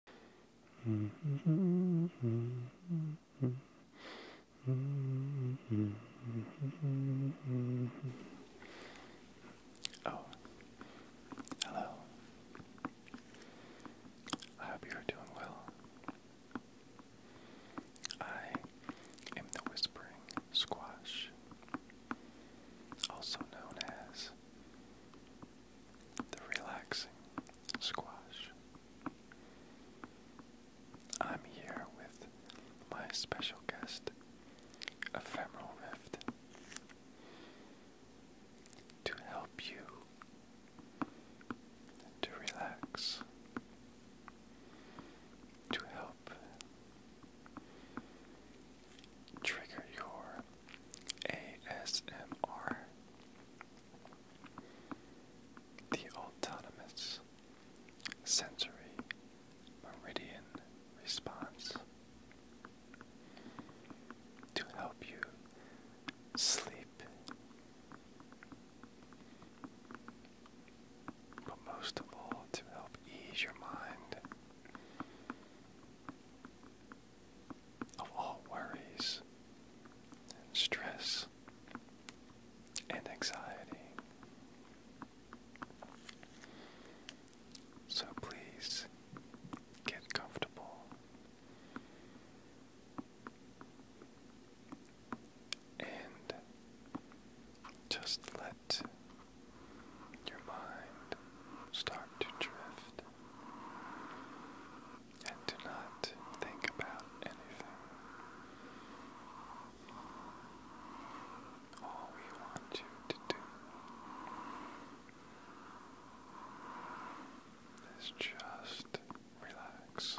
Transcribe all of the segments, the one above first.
Oh, hello. I hope you're doing well. I am the Whispering Squash, also known as the relaxing squash. I'm here with my special guest, Ephemeral Rift, to help you to relax, to help trigger your ASMR. The autonomous sensory meridian response to help you sleep, but most of all to help ease your mind of all worries and stress and anxiety. So please get comfortable and just let your mind start to drift and do not think about anything. All we want you to do is just relax.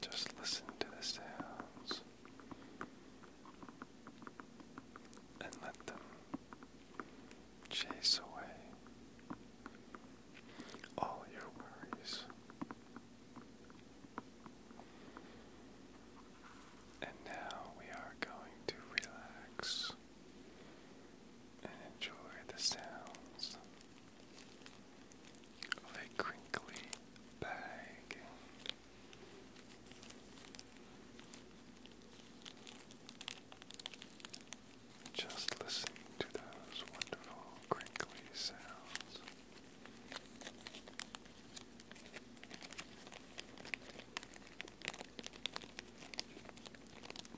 Just listen to the sounds and let them chase away all your worries. And now we are going to relax and enjoy the sounds of a crinkly bag. Just listen to those wonderful crinkly sounds.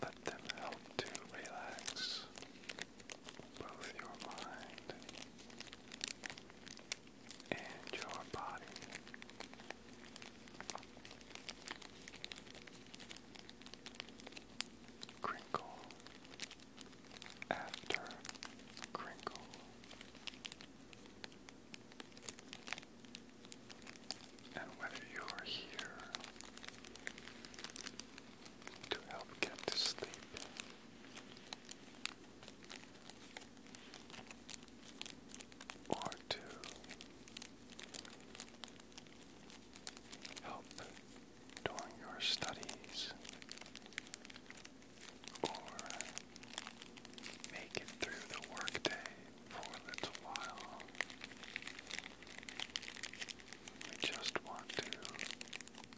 Let them help to relax both your mind and your body. Crinkle after crinkle. And whether you are here to help get to sleep or to help during your studies or make it through the workday for a little while. We just want to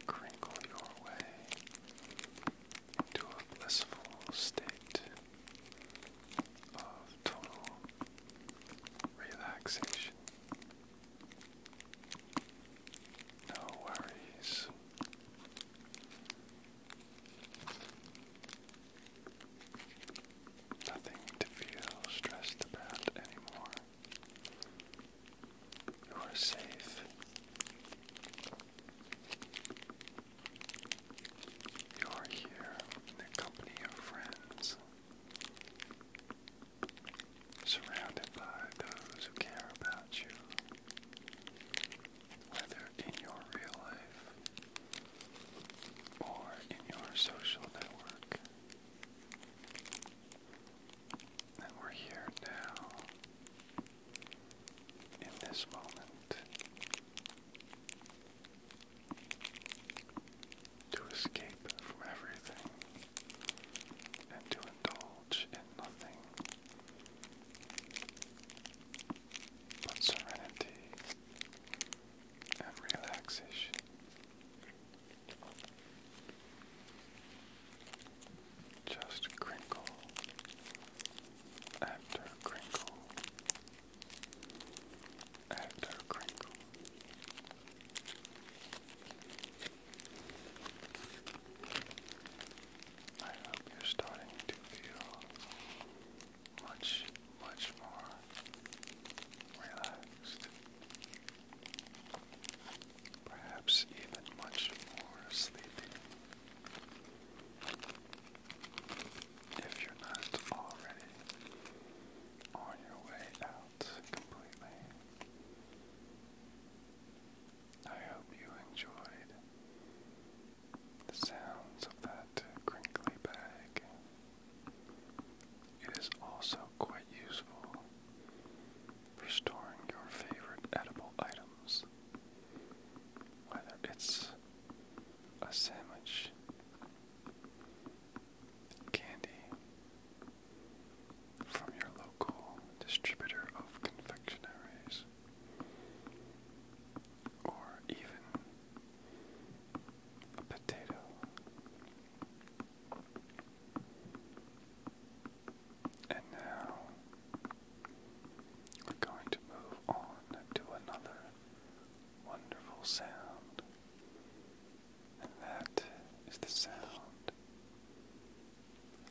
crinkle your way into a blissful state of total relaxation. No worries. Nothing to feel stressed about anymore. You are safe. You are here in the company of friends, surrounded by those who care about you, whether in your real life or in your social network. And we're here now, in this moment, to escape from everything and to indulge in nothing but serenity and relaxation. Just crinkle after crinkle after crinkle. I hope you're starting to feel much, much more relaxed perhaps even much more sleepy. If you're not already on your way out completely, I hope you enjoyed the sounds of that crinkly bag. It is also quite useful for storing your favorite edible items. Whether it's a sandwich, candy from your local distributor of confectionaries, or even a potato. And now we're going to move on to another wonderful sound, and that is the sound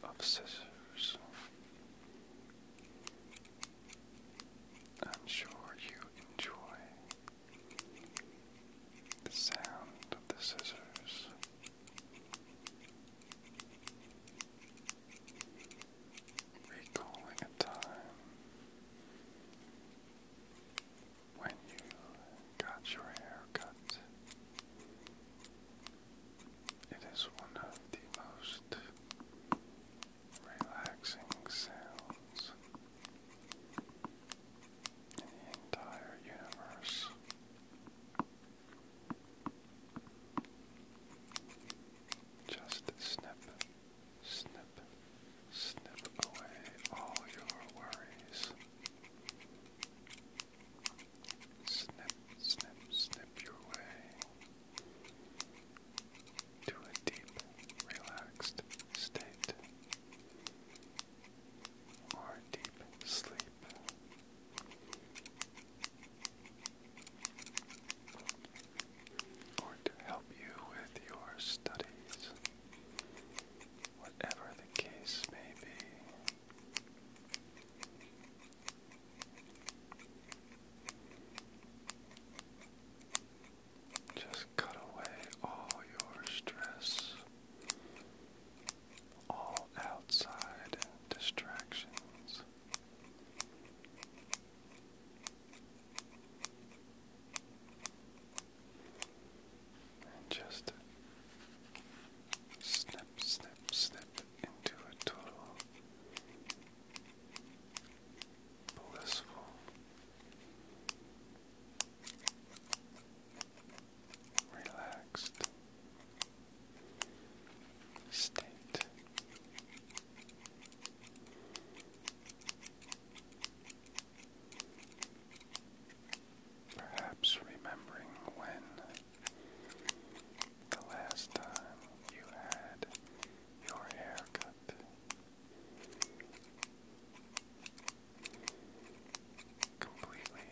of scissors. I'm sure you enjoy the sound of the scissors. Recalling a time when you got your hair cut. It is one of the most relaxing sounds in the entire universe. Just snip, snip, snip away all your worries. Snip, snip, snip your way to a deep, relaxed state or deep sleep. Or to help you with your studies, whatever the case may be. Just cut away all your stress, all outside distractions. And just snip, snip, snip into a total blissful relaxed state. Perhaps remembering when the last time you had your hair cut completely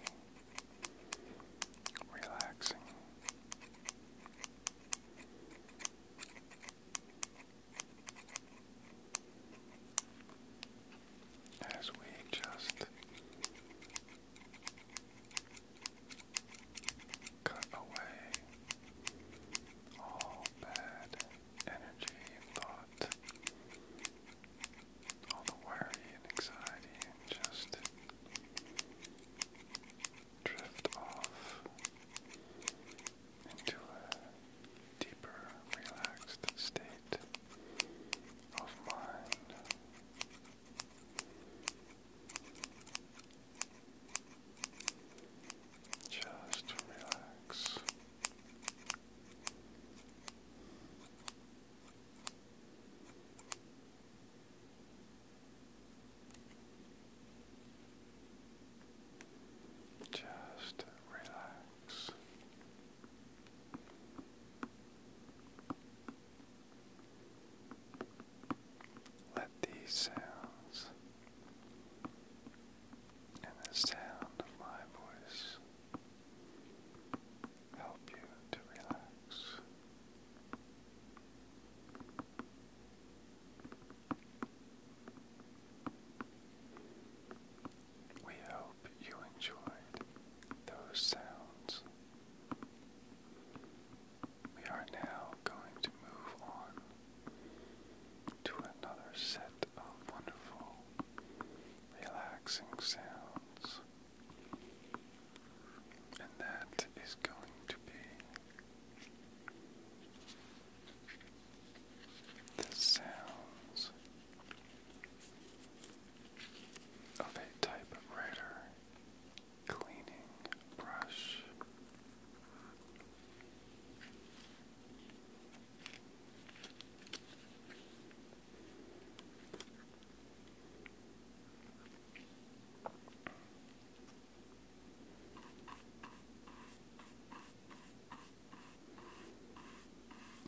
relaxing. As we just cut away all bad energy and thought, all the worry and anxiety, and just drift off into a deeper, relaxed state of mind. Just relax. Just relax. Let these sounds and the sound of my voice help you to relax. We hope you enjoyed those sounds. We are now going to move on to another set of wonderful, relaxing sounds. And that is going to be the sounds of a typewriter cleaning brush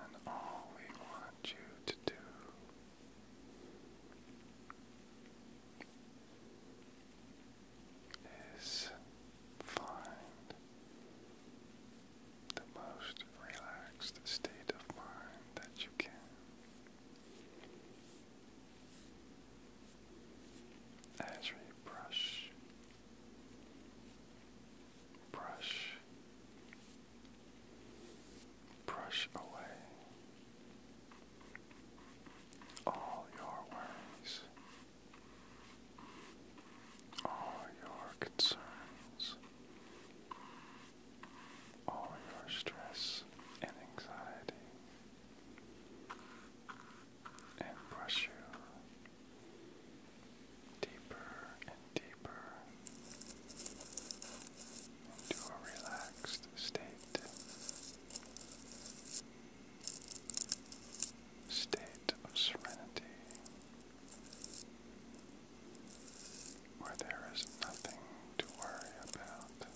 and all we want you to do is find the most relaxed state of mind that you can. As we brush, brush, brush away all your worries all your concerns, all your stress and anxiety, and brush you deeper and deeper into a relaxed state state of serenity where there is nothing to worry about.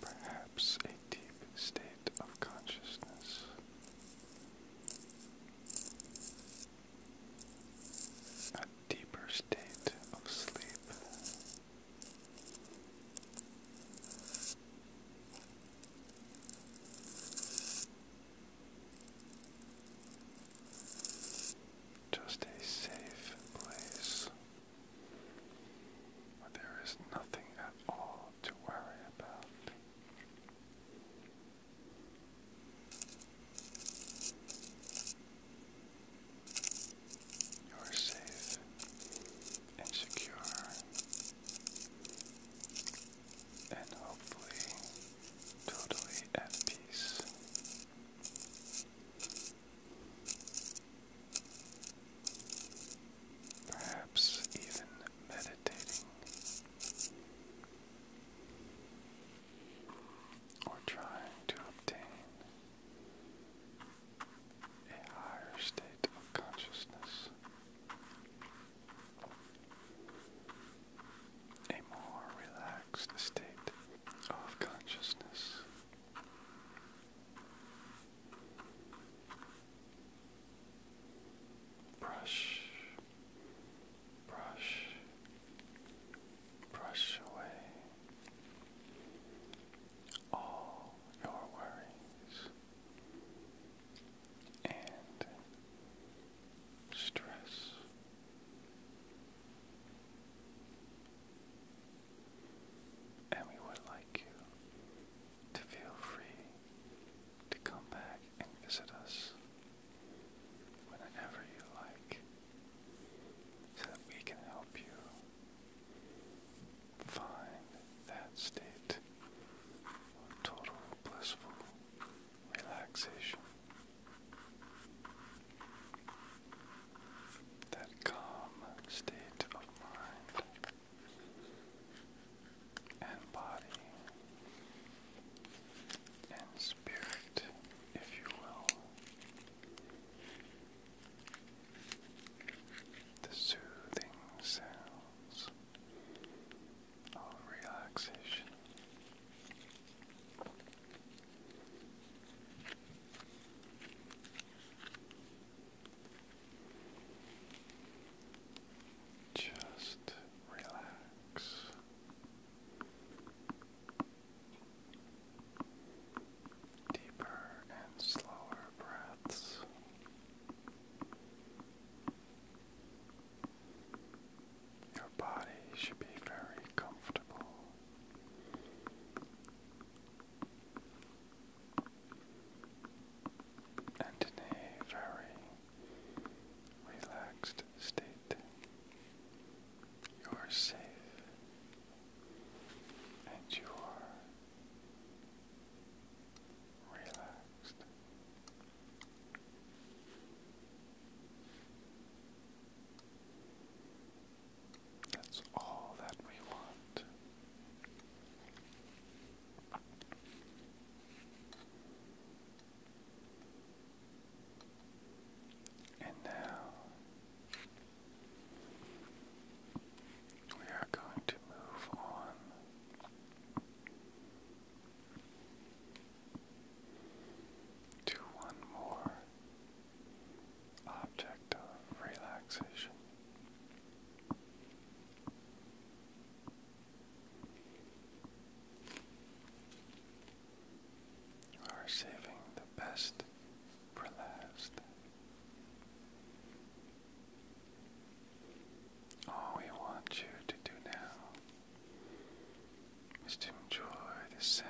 Perhaps a deep state of consciousness. A deeper state of sleep. Just a safe place where there is nothing at all to worry about. You are safe and secure and hopefully totally at peace. Perhaps even meditating or trying to obtain a higher state of consciousness, a more relaxed state of consciousness. Brush, brush, brush away all your worries and stress. And we would like you to feel free to come back and visit us whenever you like so that we can help you find that state of total blissful relaxation, that calm state of mind and body and spirit, if you will the soothing sounds of relaxation. Just relax. Deeper and slower breaths. Your body should be very comfortable. And in a very relaxed state. You are safe and you are relaxed. That's all that we want. And now we are going to move on. To one more object of relaxation. You are saving the best for last. All we want you to do now is to enjoy the sounds